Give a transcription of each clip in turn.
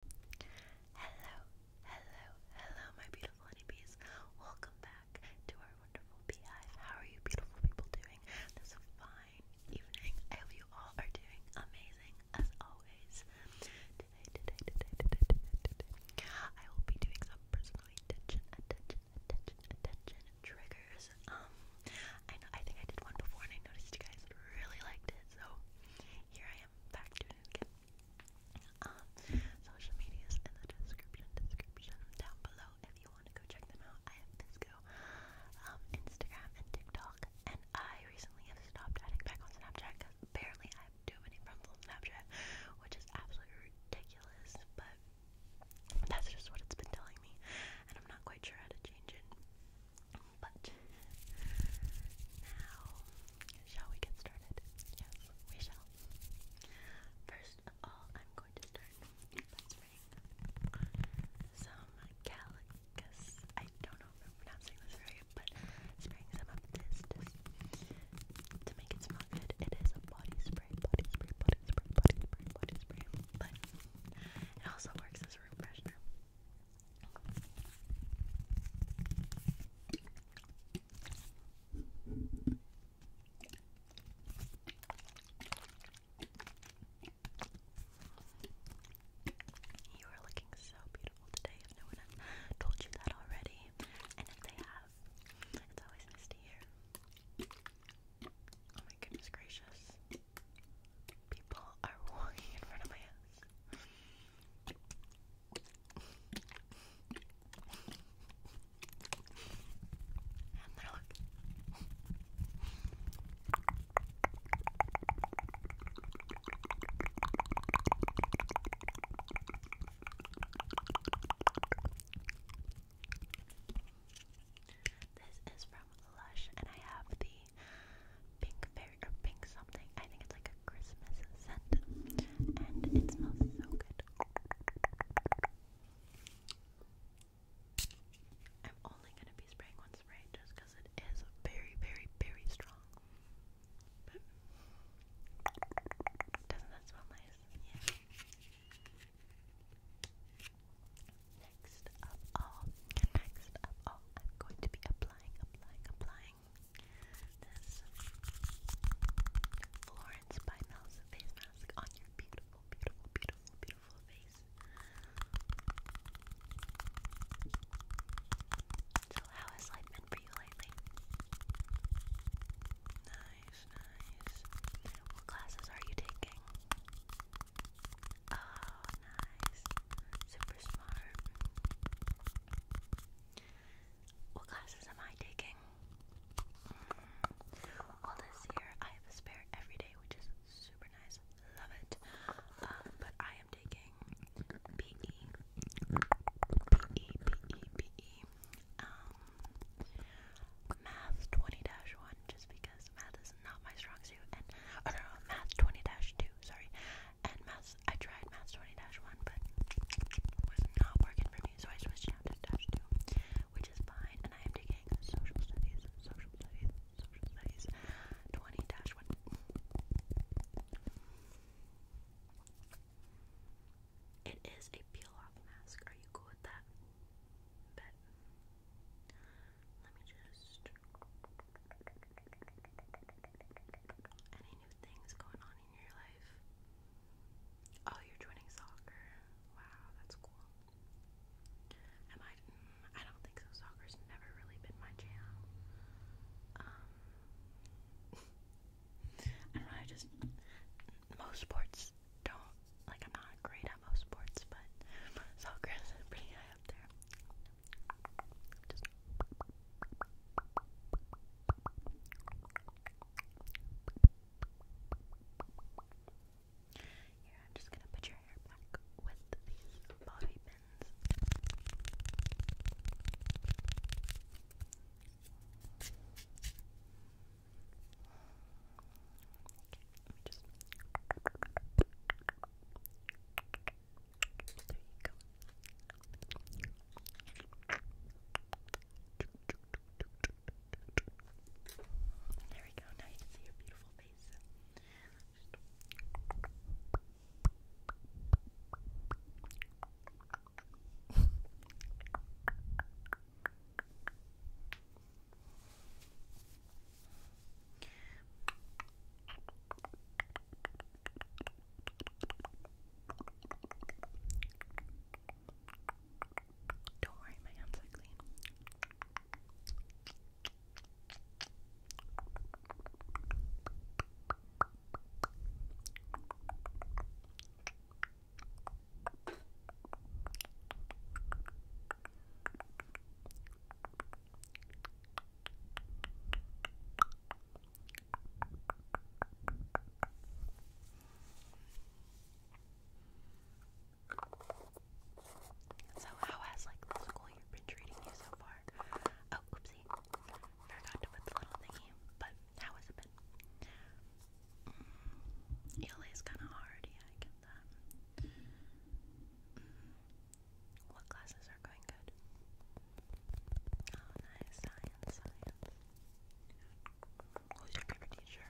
Hello, hello, hello, my beautiful honeybees. Welcome back to our wonderful beehive. How are you, beautiful people, doing this fine evening? I hope you all are doing amazing as always. Today, today, today, today, today, today, I will be doing some personally attention, attention, attention, attention triggers. Um, I know I think I did one before and I noticed you guys really liked it, so here I am back doing it again. Um, social medias in the description, description down below if you want to go check them out. I have Fisco, um, Instagram, and TikTok. And I recently have stopped adding back on Snapchat because apparently I have too many friends on Snapchat, which is absolutely ridiculous. But that's just what it's been telling me, and I'm not quite sure how to change it. But now, shall we get started? Yes, we shall. First of all, I'm going to start some calicus. I don't know if I'm pronouncing this right, but spraying some of this to make it smell good. It is a body spray, body spray, body spray, body spray, body spray, but it also works as a room freshener. You are looking so beautiful today. If no one has told you that already, and if they have, it's always nice to Oh my goodness gracious. People are walking in front of my house. This is from Lush, and I have the Pink Fairy or pink something. I think it's like a Christmas scent, and it smells so good. I'm only gonna be spraying one spray just because it is very, very, very strong. But doesn't that smell nice? Yeah. Next of all, next of all, I'm going to be applying, applying, applying doing Florence by Mel's face mask on your beautiful, beautiful, beautiful, beautiful face. So, how has life been for you lately? Nice, nice. What classes are you taking? Oh, nice. Super smart. What classes am I taking? Mm. Well, this year I have a spare every day, which is super nice. Love it. Um, but I am taking PE, PE, PE, PE, um, Math 20 1, just because math is not my strong suit, and, oh no, no Math 20 2, sorry, and Mouse, I tried Mouse 20 1, but it was not working for me, so I switched down to Dash 2, which is fine. And I am taking Social Studies, Social Studies, Social Studies 20 1. It is a peel off mask. Are you cool with that? Bet. Let me just. Any new things going on on in your life? Oh, you're joining soccer. Wow, that's cool. Am I? Mm, I don't think so. Soccer's never really been my jam. Um, I don't know. I just most sports don't like. I'm not great at most sports, but soccer is pretty high up there. Just here, I'm just gonna put your hair back with these bobby pins. Okay, let me just. Okay, there you go. There we go. Now you can see your beautiful face. Don't worry, my hands are clean. So, how has like the school year been treating you so far? Oh, oopsie, forgot to put the little thingy. But how has it been? Mm, is kind of hard. I get that. Mm, what classes are are Oh, nice. Science, Who's your favorite teacher?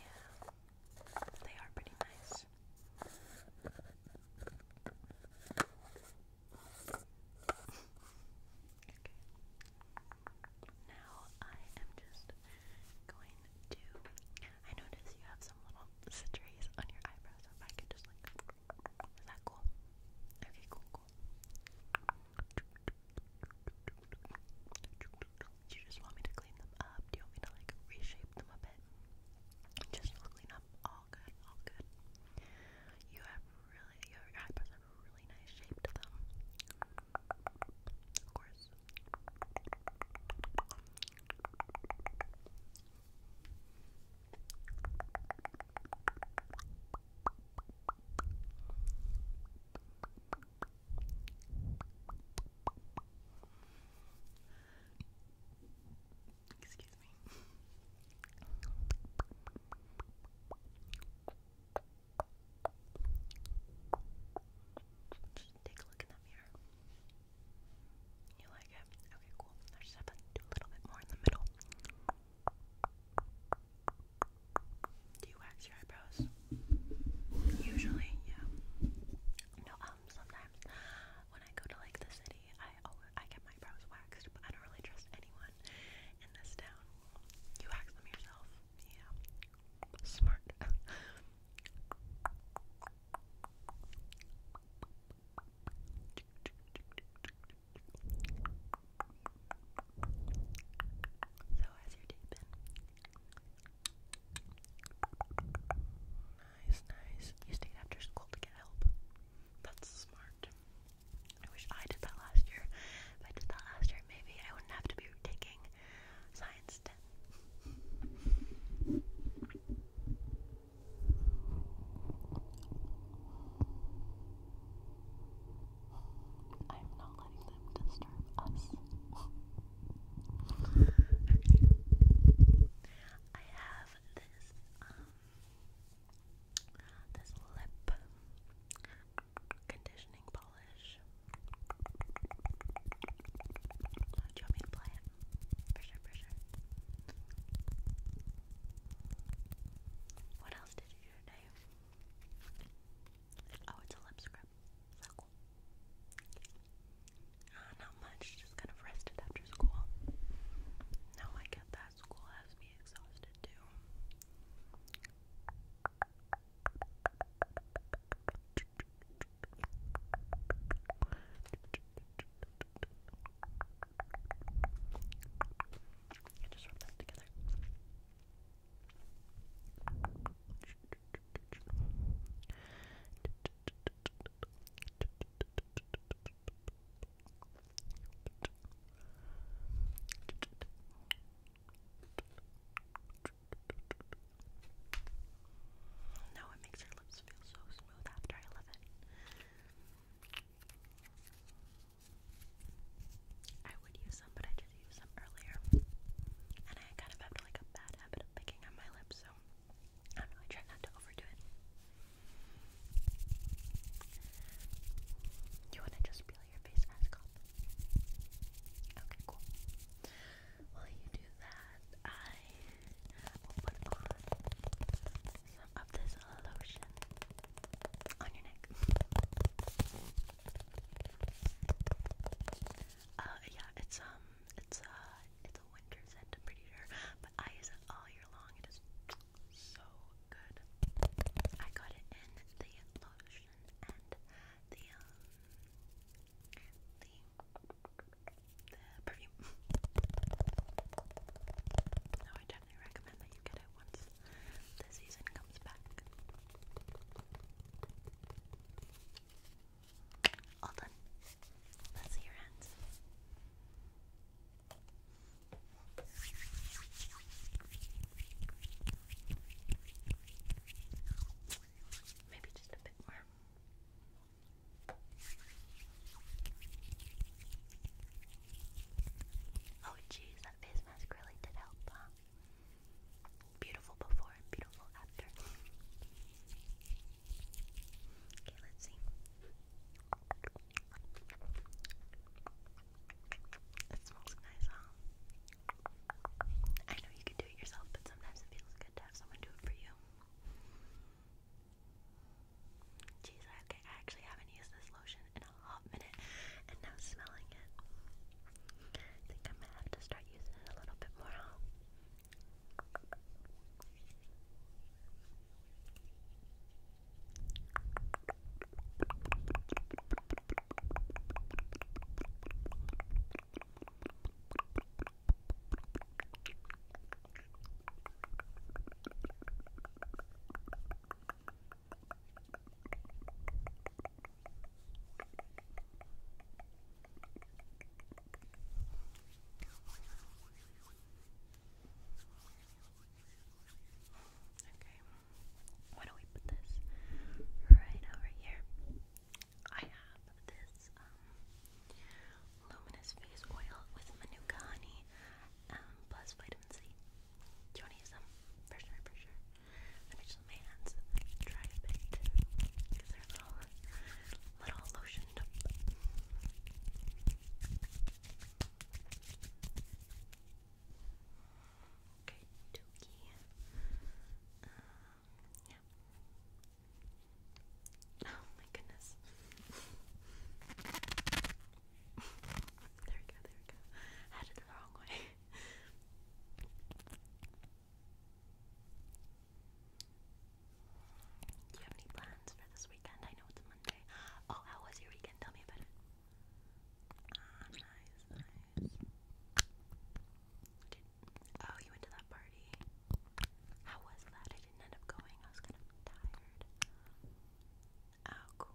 Yeah, they are pretty nice. okay. Now I am just going to. I notice you have some little citrus on your eyebrows. if I could just like is that cool? Okay, cool, cool. You just want me to clean them up? Do you want me to like reshape them a bit? Just clean up. All good, all good. You have really, your eyebrows have really nice shape Of course. Excuse me. Just take a look in that mirror. You like it? Okay, cool. I just have to do a little bit more in the middle. Do you wax your eyebrows? Usually, yeah. No, um, sometimes when I go to like the city, I always, I get my brows waxed, but I don't really trust anyone in this town. You wax them yourself, yeah. Smart. So, how's your day Nice, nice. You stayed after school to get help. That's smart. I wish I did that last year. If I did that last year, maybe I wouldn't have to be taking science 10. I'm not letting them disturb us. I have this um this lip conditioning polish. do you want me to play it? For sure, for sure. What else did you do today? Oh, it's a lip scrub. So cool. Ah, not much, just kind of rested after school. No, I get that. School has me exhausted too. I just rub that together. No, it makes your lips feel so smooth after I love it. I would use them, but I did use them earlier. And I kind of have like a bad habit of picking on my lips, so I don't know, I try not to overdo it. You want to just peel your face mask off? Okay, cool. While you do that, I will put on of this lotion on your neck. Uh, yeah, it's um, it's uh, it's a winter scent, I'm pretty sure, but I use it all year long. It is so good. I got it in the lotion and the um, the the perfume. No, I checked definitely recommend that you get it once the season comes back. All done. let your hands. Maybe just a bit more. Oh jeez, that face mask really did help, Beautiful before and beautiful after. Okay, let's see. It smells nice, huh? I know you can do it yourself, but sometimes it feels good to have someone do it for you. Jeez, okay, I actually haven't used this lotion in a hot minute, and now smelling it, I think I'm gonna have to start using it a little bit more. Okay, why don't we put this right over here? I have this um, luminous face oil with Manuka honey um, plus vitamin potency. you them? For sure, for sure. Let hands dry a little, little Okay, dookie. Um, yeah. Oh my goodness there we go, there we go. Headed the wrong way. Do you have any plans for this weekend? I know it's Monday. Oh, how was your weekend? Tell me about it. Ah, nice, nice. oh, you went to that party. How was that? I didn't end up going. I was kind of tired. Oh, cool.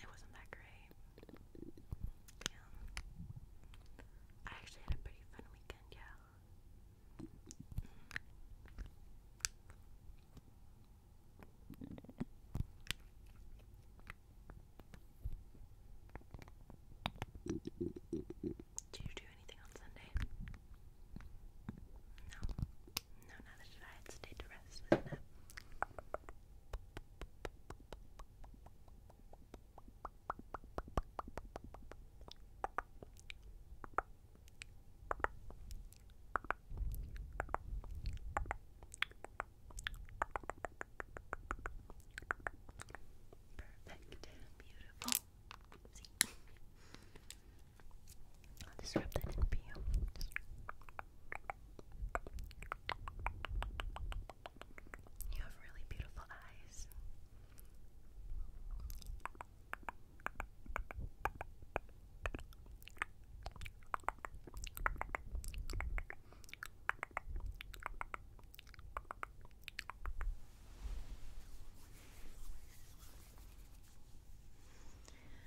It wasn't that great. I actually had a pretty fun weekend, yeah. Do you do anything on Sunday? No. No, not that it had stayed to rest, isn't it? Perfect, beautiful. See? I'll just rub that in for you. You have really beautiful eyes.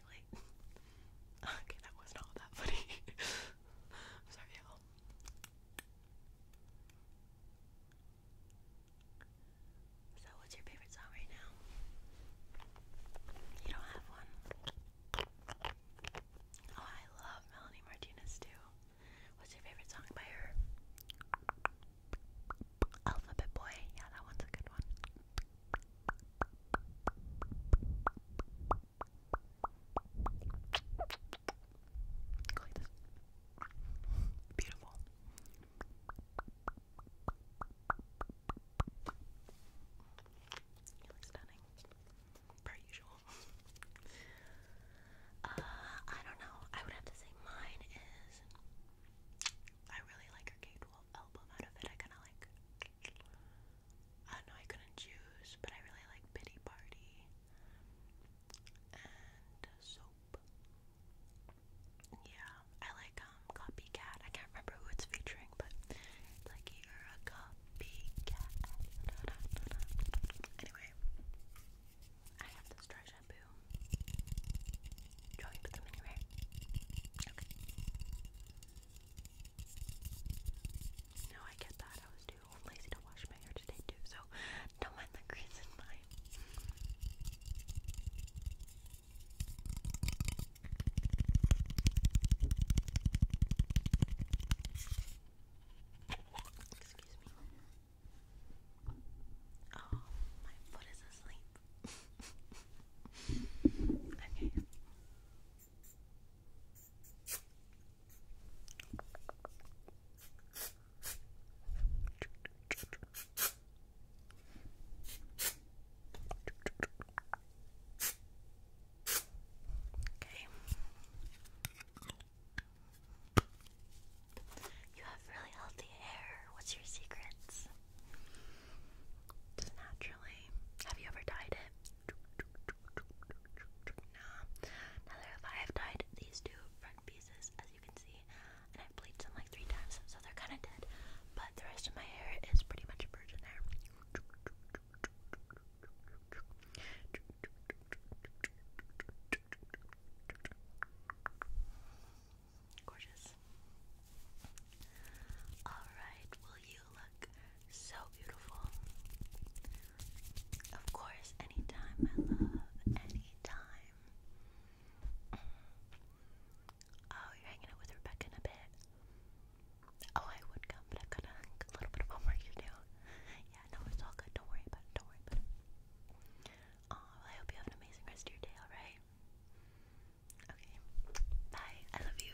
okay, that was not that funny. sorry, So, what's your favorite song right now? You don't have one. Oh, I love Melanie Martinez too. What's your favorite song by her? Alphabet Boy. Yeah, that one's a good one. Go like this. Beautiful. You look stunning. Per usual. Uh, I don't know. I would have to say mine is. I really like her Kate Wolf album out of it. I kind of like I know I couldn't choose, but I really like Pity Party and Soap. Yeah, I like um, Copycat. I can't remember who it's featuring, but it's like you're a copycat. Anyway, I have this dry shampoo. Do you put them in your hair? Okay. No, I get that. I was too lazy to wash my hair today too, so don't mind the grease in mine. Excuse me. Oh, my foot is asleep. okay. Okay. You have really healthy hair. What's your secrets? Just naturally. Have you ever dyed it? Nah. Now there five tied these two front pieces, as you can see, and I've bleached them like three times, so they're kind of dead. But the rest of my hair is pretty much virgin hair. Gorgeous. Alright, will you you look so beautiful. Of course, anytime, my love. Anytime. Oh, you're hanging out with Rebecca in a bit. Oh, I would come, but I've got a little bit of homework to do. Yeah, no, it's all good. Don't worry about it. Don't worry about it. Oh, well, I hope you have an amazing rest of your day, alright? Okay. Bye. I love you.